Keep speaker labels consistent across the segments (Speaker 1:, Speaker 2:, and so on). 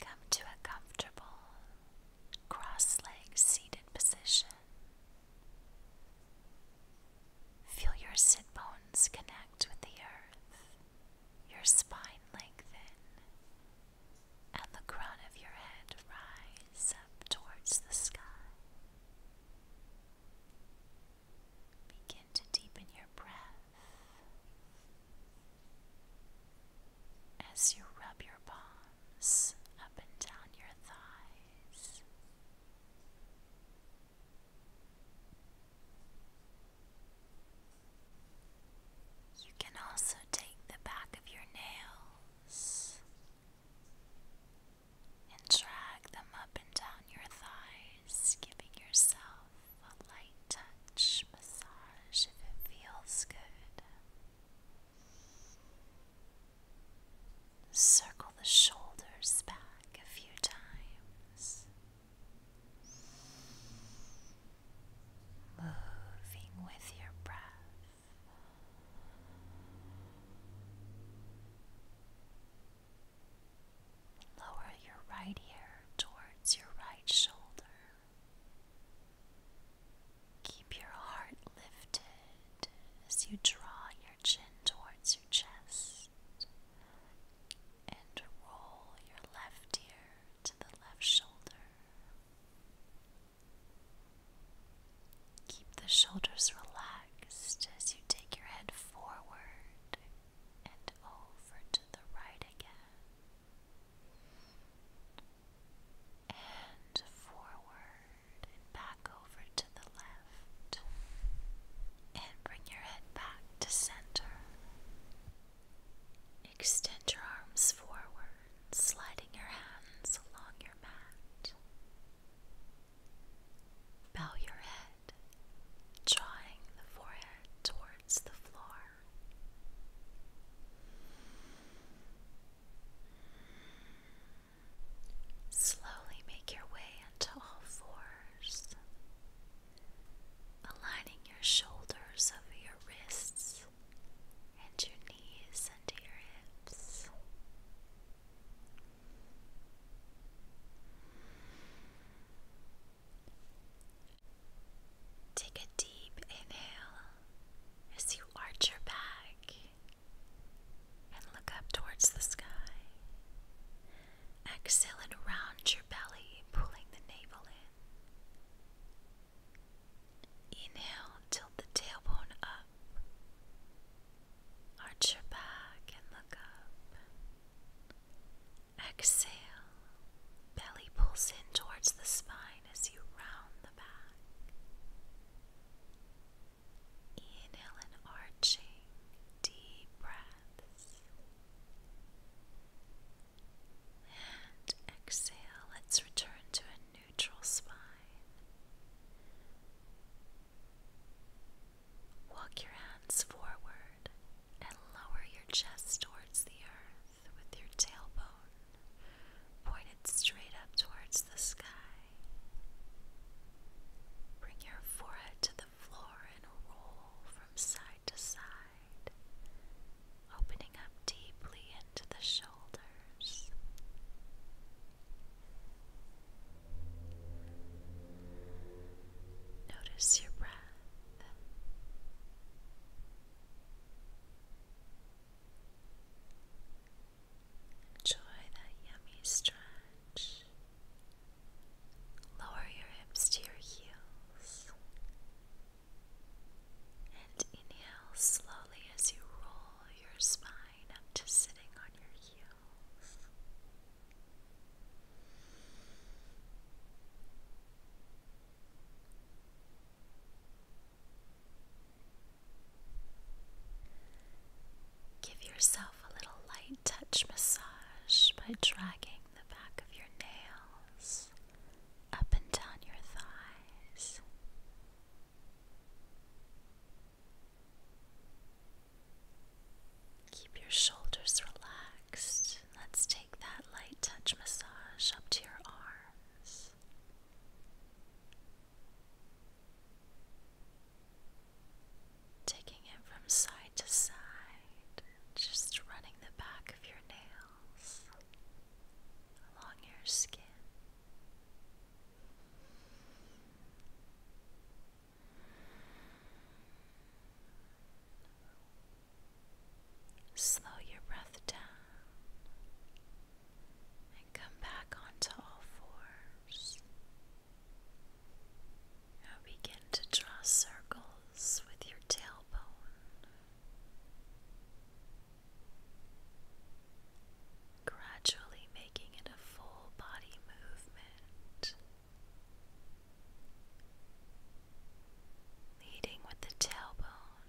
Speaker 1: Come to a comfortable cross leg seated position. Feel your sit bones connect with the earth, your spine lengthen, and the crown of your head rise up towards the sky. Begin to deepen your breath as you rub your palms up and down your thighs. You can also take the back of your nail and drag them up and down your thighs, giving yourself a light touch massage if it feels good. Circle the shoulders back a few times. Moving with your breath. Lower your right ear towards your right shoulder. Keep your heart lifted as you draw your chin towards your chest and roll your left ear to the left shoulder. Keep the shoulders relaxed as you take your head forward and over to the right again. And forward and back over to the left. And bring your head back to center. Extend your arms forward, sliding your hands along your Bow your head, drawing the forehead towards the floor. Slowly make your way onto all fours, aligning your shoulders over your wrists and your knees under your hips. Take a deep inhale as you arch your back and look up towards the sky. Exhale and round your belly, pulling the navel in. Inhale, tilt the tailbone up. Arch your back and look up. Exhale, belly pulls in towards the spine as you round the back. Inhale and arching, deep breaths. And exhale, let's return to a new neutral spine. Walk your hands forward and lower your chest towards the earth with your tailbone pointed straight up towards the sky. Bring your forehead to the floor and roll from side to side, opening up deeply into the shoulders. Notice your breath. Enjoy that yummy stretch. Lower your hips to your heels. And inhale slowly as you roll your spine fine. just sitting on your heels. Give yourself a little light touch massage by dragging the back of your nails up and down your thighs Keep your shoulders relaxed. Let's take that light touch massage up to your arms. Taking it from side to side, just running the back of your nails along your skin. Slow your breath down and come back onto all fours. Now begin to draw circles with your tailbone gradually making it a full body movement, leading with the tailbone,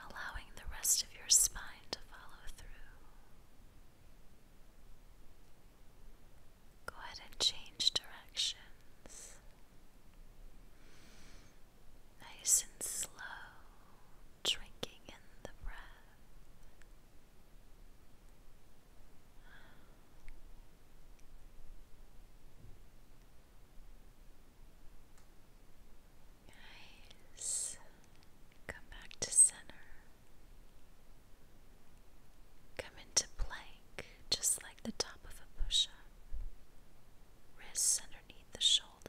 Speaker 1: allowing the rest of your spine to follow through. Go ahead and change directions nice and slow, drinking in the breath. Nice. Come back to center. Come into plank, just like the top of a push up. Wrists underneath the shoulders.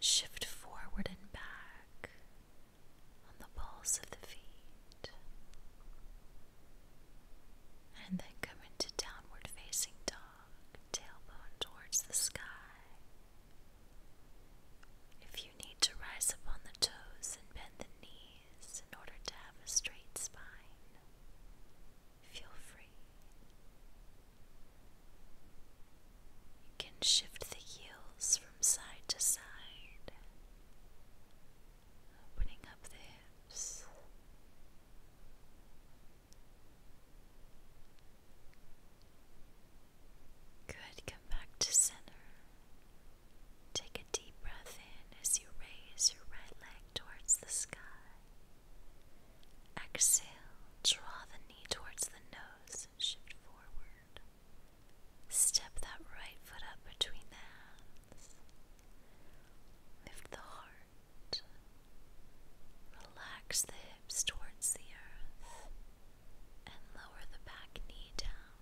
Speaker 1: Shift forward and back on the pulse of the feet. And then come into downward facing dog, tailbone towards the sky. If you need to rise up on the toes and bend the knees in order to have a straight spine, feel free. You can shift the heels from side to side, opening up the hips. Good, come back to center. Take a deep breath in as you raise your right leg towards the sky. Exhale, draw the knee towards the nose, shift forward. Step that right foot up between the hands. Lift the heart. Relax the hips towards the earth and lower the back knee down.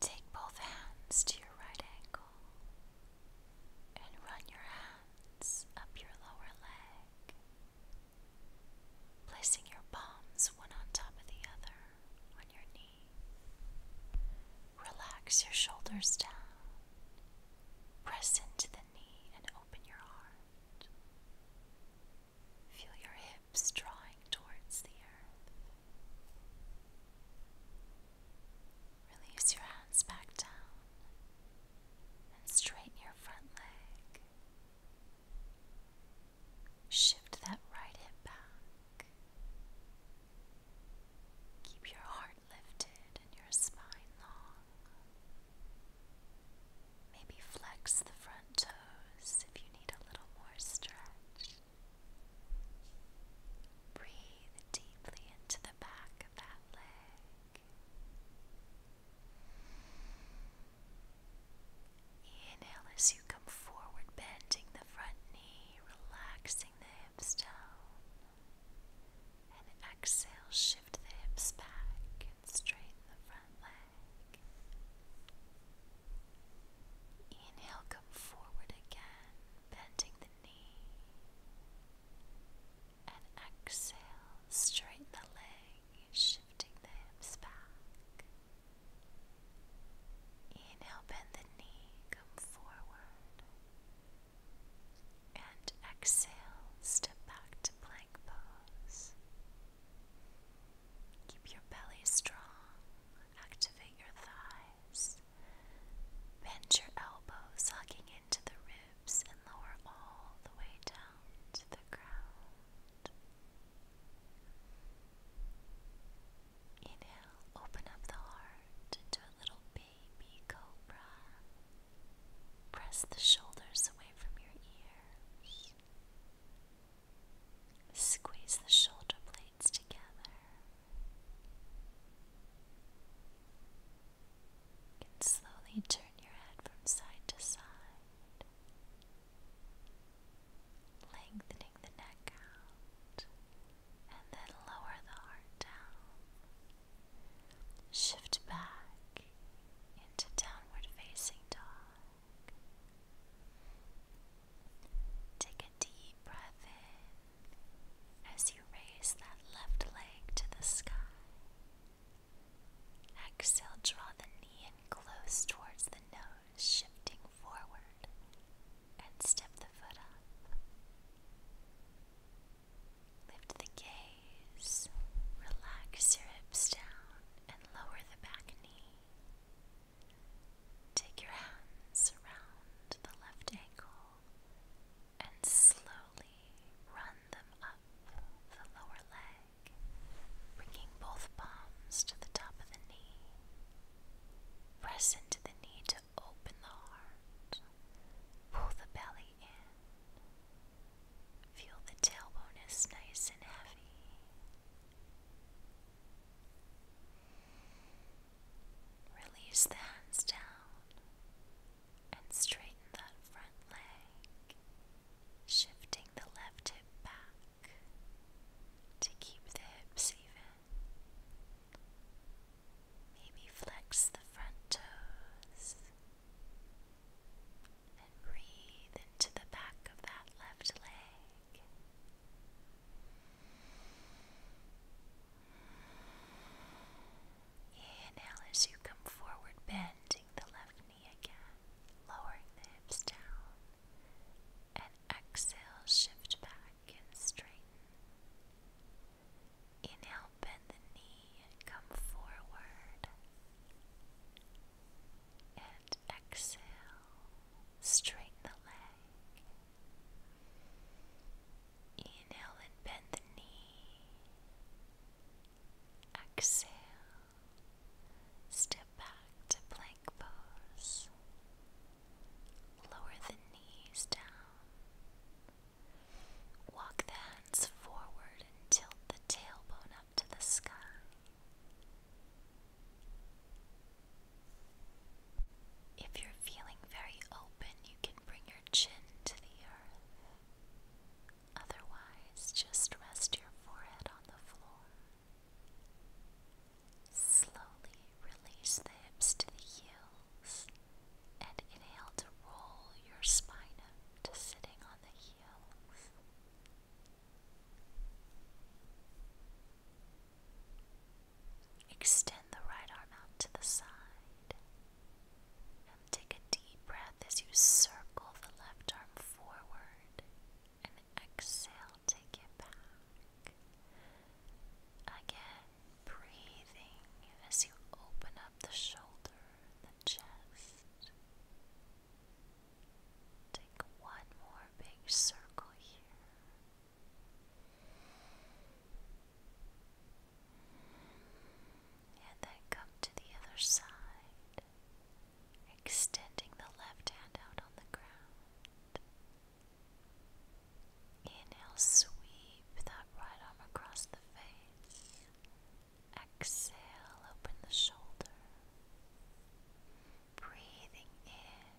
Speaker 1: Take both hands to your right ankle and run your hands up your lower leg placing your palms one on top of the other on your knee. Relax your shoulders down. Press into the knee and open your heart. Feel your hips drawing towards the earth. Release your hands back down and straighten your front leg. Shift that right hip back. Keep your heart lifted and your spine long. Maybe flex the front toes if you need a little more stretch. Breathe deeply into the back of that leg. Inhale as you come forward, bending the front knee, relaxing the hips down. And exhale, shift the hips back and straighten the front leg. Inhale, come forward again, bending the knee and exhale, straighten the leg, shifting the hips back. Inhale, bend the knee, come forward. And exhale, step back to plank pose. Keep your belly strong, activate your thighs. Bend your elbows, hugging into the and lower all the way down to the ground. Inhale, open up the heart into a little baby cobra. Press the shoulders away from your ears. Squeeze the shoulder blades together. And slowly turn your head from side to side lengthening the neck out, and then lower the heart down. Shift back into downward facing dog. Take a deep breath in as you raise that left leg to the sky. Exhale, draw the knee in close towards the nose, shifting forward, and step the foot up. Lift the gaze, relax your hips down, and lower the back knee. Take your hands around the left ankle and slowly run them up the lower leg back, bringing both palms to the top of the knee. Press into the knee to open the heart. Pull the belly in. Feel the tailbone is nice and heavy. Release the hands down and straighten that front leg shifting the left hip back to keep the hips even. Maybe flex the front toes and breathe into the back of that left leg. Inhale as you come forward, bending the left lowering the hips down, and exhale, shift back and straighten. Inhale, bend the knee come forward, and exhale, straighten the leg. Inhale and bend the knee. Exhale Step back to plank pose. Lower the knees down. Walk the hands forward and tilt the tailbone up to the sky. If you're feeling very open, you can bring your chin to the earth. Otherwise, just rest your forehead on the floor. Slowly release the hips to the heels and inhale to roll your spine up sitting on the heels. Extend the right arm out to the side and take a deep breath as you circle the left arm forward and exhale, take it back. Again, breathing as you open up the shoulder, the chest. Take one more big circle here. And then come to the other side extending the left hand out on the ground. Inhale, sweep that right arm across the face. Exhale, open the shoulder. Breathing in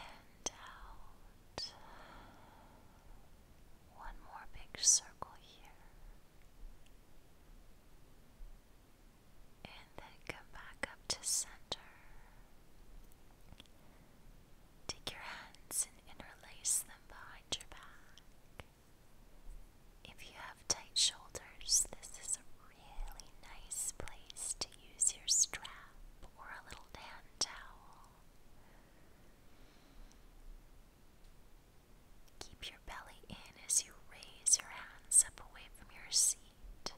Speaker 1: and out. One more big circle here. And then come back up to center. Take your hands and interlace them behind your back. If you have tight shoulders, this is a really nice place to use your strap or a little hand towel. Keep your belly in as you raise your hands up away from your seat.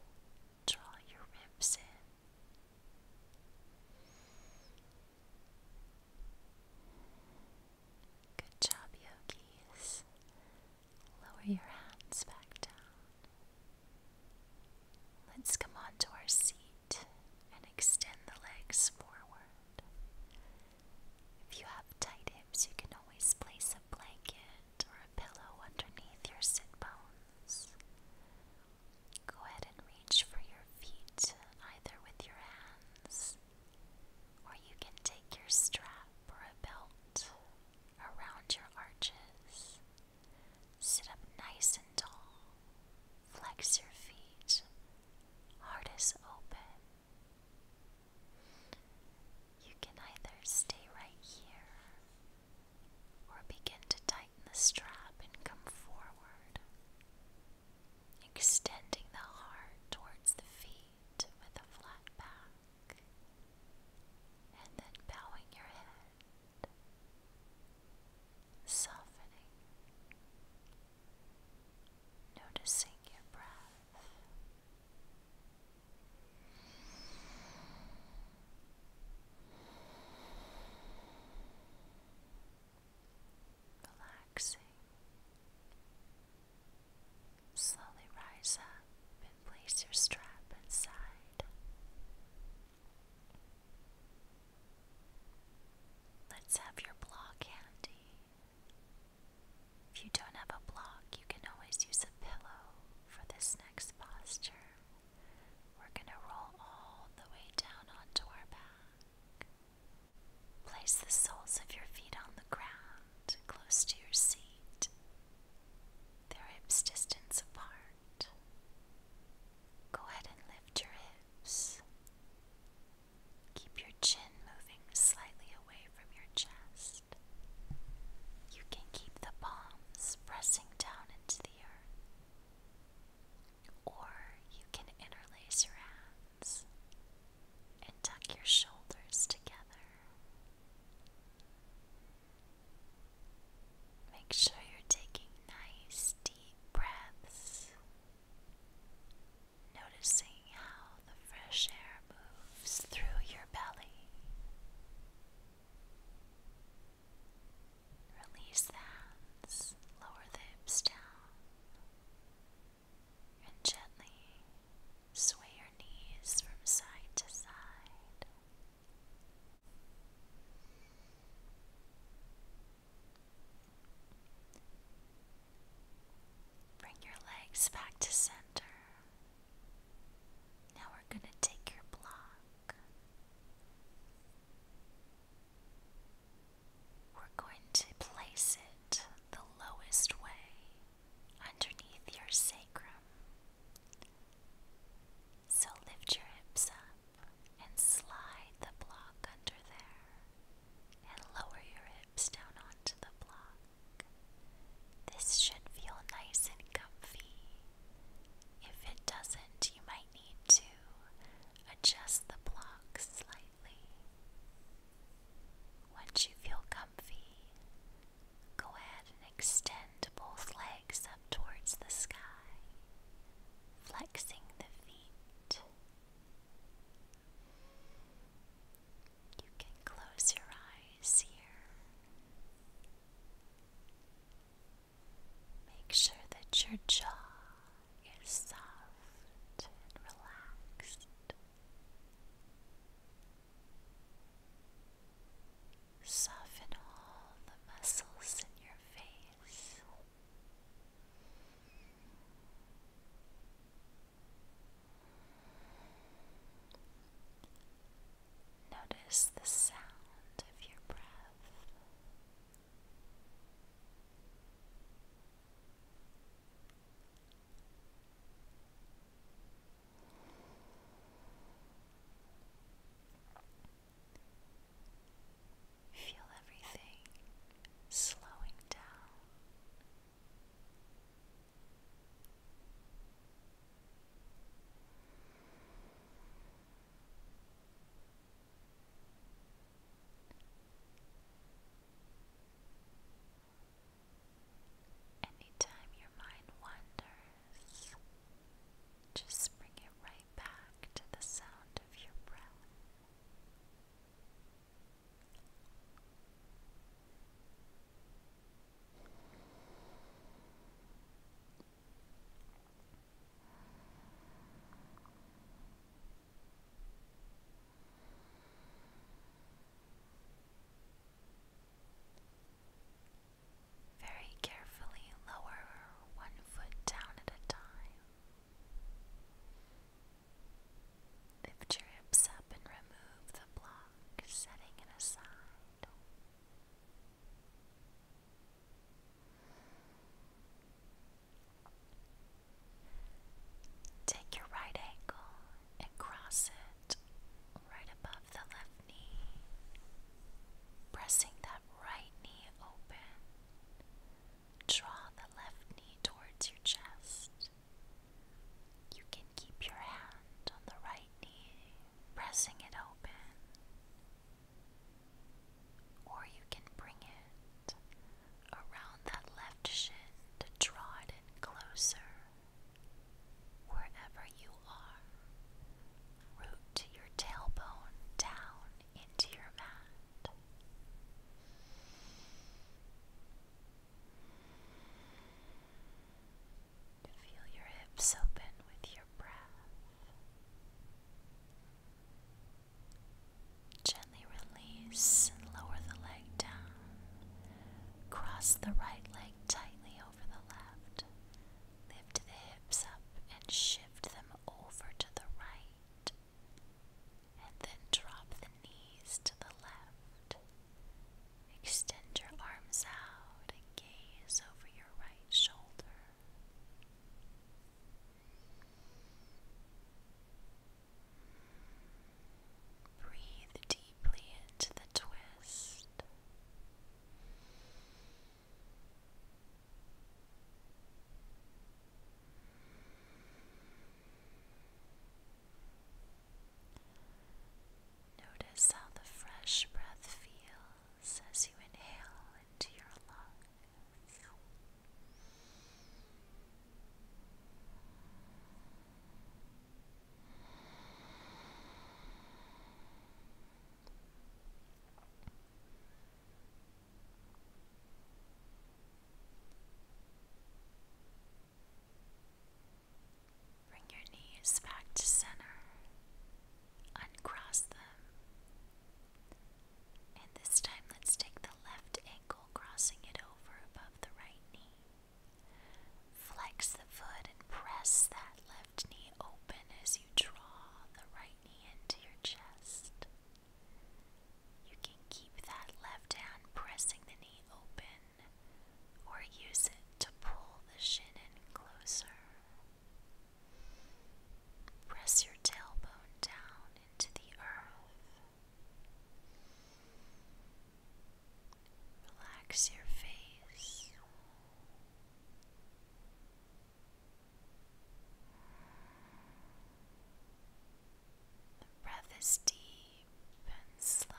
Speaker 1: Draw your ribs in. Good job, yogis. Lower your hands back down. Let's come onto our seat and extend the legs forward. If you have tight hips, you can always place a blanket or a pillow underneath your sit bones. Go ahead and reach for your feet either with your hands or you can take your strap or a belt around your arches. Sit up nice and tall. Flex your feet. Heart is open. You can either stay right here or begin to tighten the strap and come forward, extending the heart towards the feet with a flat back, and then bowing your head, softening noticing your breath. Relaxing. Slowly rise up and place your strap inside. Let's have your block handy. If you don't have a block, you can always use a pillow for this next posture. We're going to roll all the way down onto our back. Place the soles of your feet on the ground close to your seat, their hips distance apart. Go ahead and lift your hips. Keep your chin moving slightly away from your chest. You can keep the palms pressing down into the earth, or you can interlace your hands and tuck your shoulders together. Make sure you're taking nice deep breaths noticing how the fresh air moves through your belly. Release the hands, lower the hips down, and gently sway your knees from side to side. Bring your legs back to center. Now we're going to take your block. We're going to place it the lowest way underneath your sacrum. So lift your hips up and slide the block under there and lower your hips down onto the block. This should feel nice and comfy. If it doesn't, you might need to adjust the block slightly. Once you feel comfy, go ahead and extend both legs up towards the sky, flexing the feet. You can close your eyes here. Make sure that your jaw is soft and relaxed. Soften all the muscles in your face. Notice the sound of your breath. Feel everything slowing down Anytime your mind wanders, just bring it right back to the sound of your breath. Very carefully lower one foot down at a time. Lift your hips up and remove the block, setting it aside. Take your right ankle and cross it right above the left knee, pressing that right knee open. Draw the left knee towards your chest. You can keep your hand on the right knee, pressing it open, or you can bring it around that left shin to draw it in closer. Wherever you are, root your tailbone down into your mat to feel your hips open with your breath. Gently release and lower the leg down. Cross the right leg tightly over the left. Lift the hips up and shift them over to the right. And then drop the knees to the left. Extend your arms out and gaze over your right shoulder. Breathe deeply into the twist. Notice how the fresh breath feels as you inhale into your lungs. Bring your knees back to center. Uncross them. And this time, let's take the left ankle, crossing it over above the right knee. Flex the foot and press that left knee open as you draw the right knee into your chest. You can keep that left hand pressing the knee open or use it to pull the shin in closer. Press your tailbone down into the earth. Relax your face. The breath is deep and slow.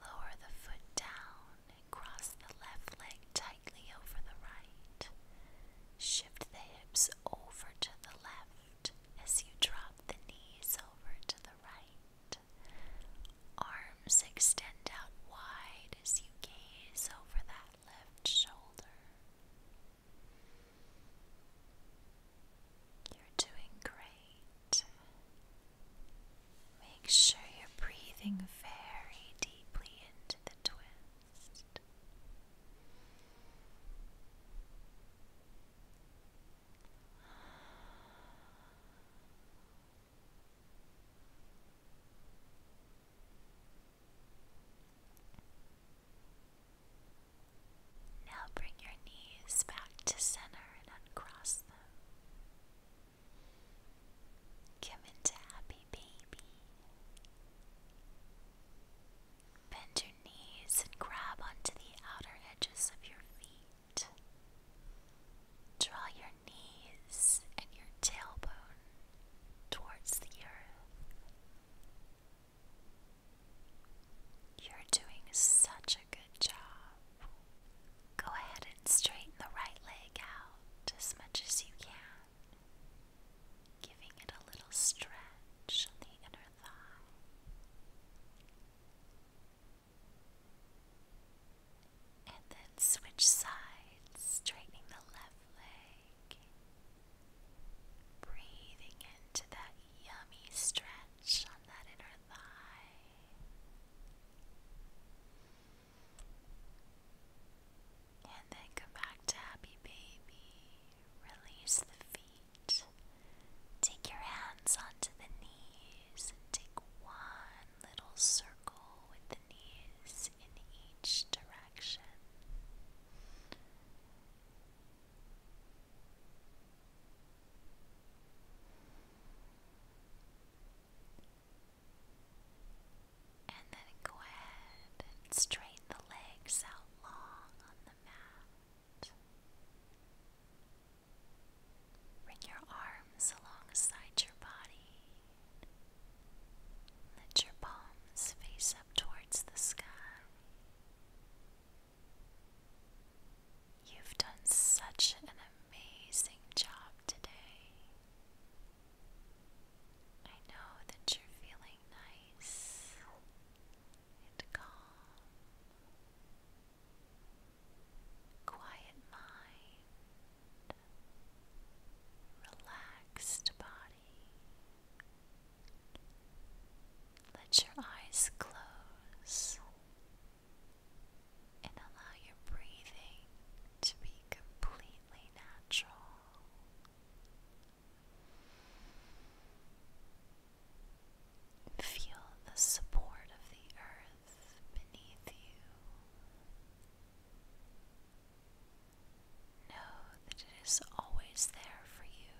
Speaker 1: Lower the foot down and cross the left leg tightly over the right. Shift the hips over to the left as you drop the knees over to the right. Arms extend out wide as you gaze over that left shoulder. You're doing great. Make sure you're breathing very deeply into the twist. Now bring your knees back to center and uncross them. Come into happy baby. Bend your knees and grab onto the outer edges of your feet. Draw your knees and your tailbone towards the earth you're doing such a good job. Go ahead and straighten the right leg out as much as you can, giving it a little stretch on the inner thigh. And then switch sides, straightening the left leg Breathing into that yummy stretch on that inner thigh. And then come back to Happy Baby. Release the feet. Take your hands onto the knees and take one little circle with the knees in each direction. And then go ahead and straighten the legs out long on the mat. Bring your arms alongside your body. Let your palms face up towards the sky. You've done such an amazing job today. I know that you're feeling nice and calm. Quiet mind, relaxed body, let your eyes close and allow your breathing to be completely natural. Feel the support of the earth beneath you. Know that it is always there for you.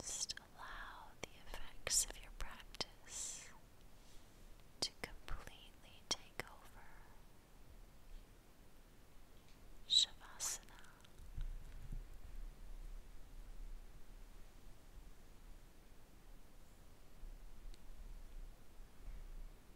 Speaker 1: Just allow the effects of your practice to completely take over. Shavasana.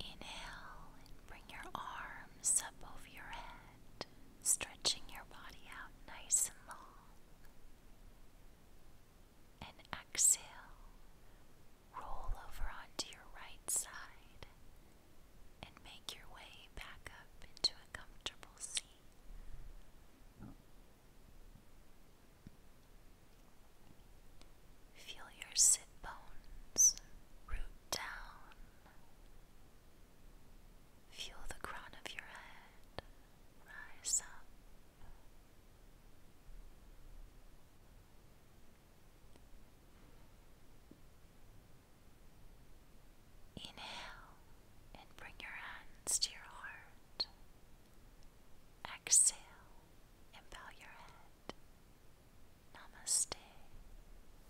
Speaker 1: Inhale and bring your arms up over your head, stretching your body out nice and long. And exhale, roll over onto your right side and make your way back up into a comfortable seat. Feel your sit bones root down Feel the crown of your head rise up. Inhale and bring your hands to your heart. Exhale and bow your head. Namaste.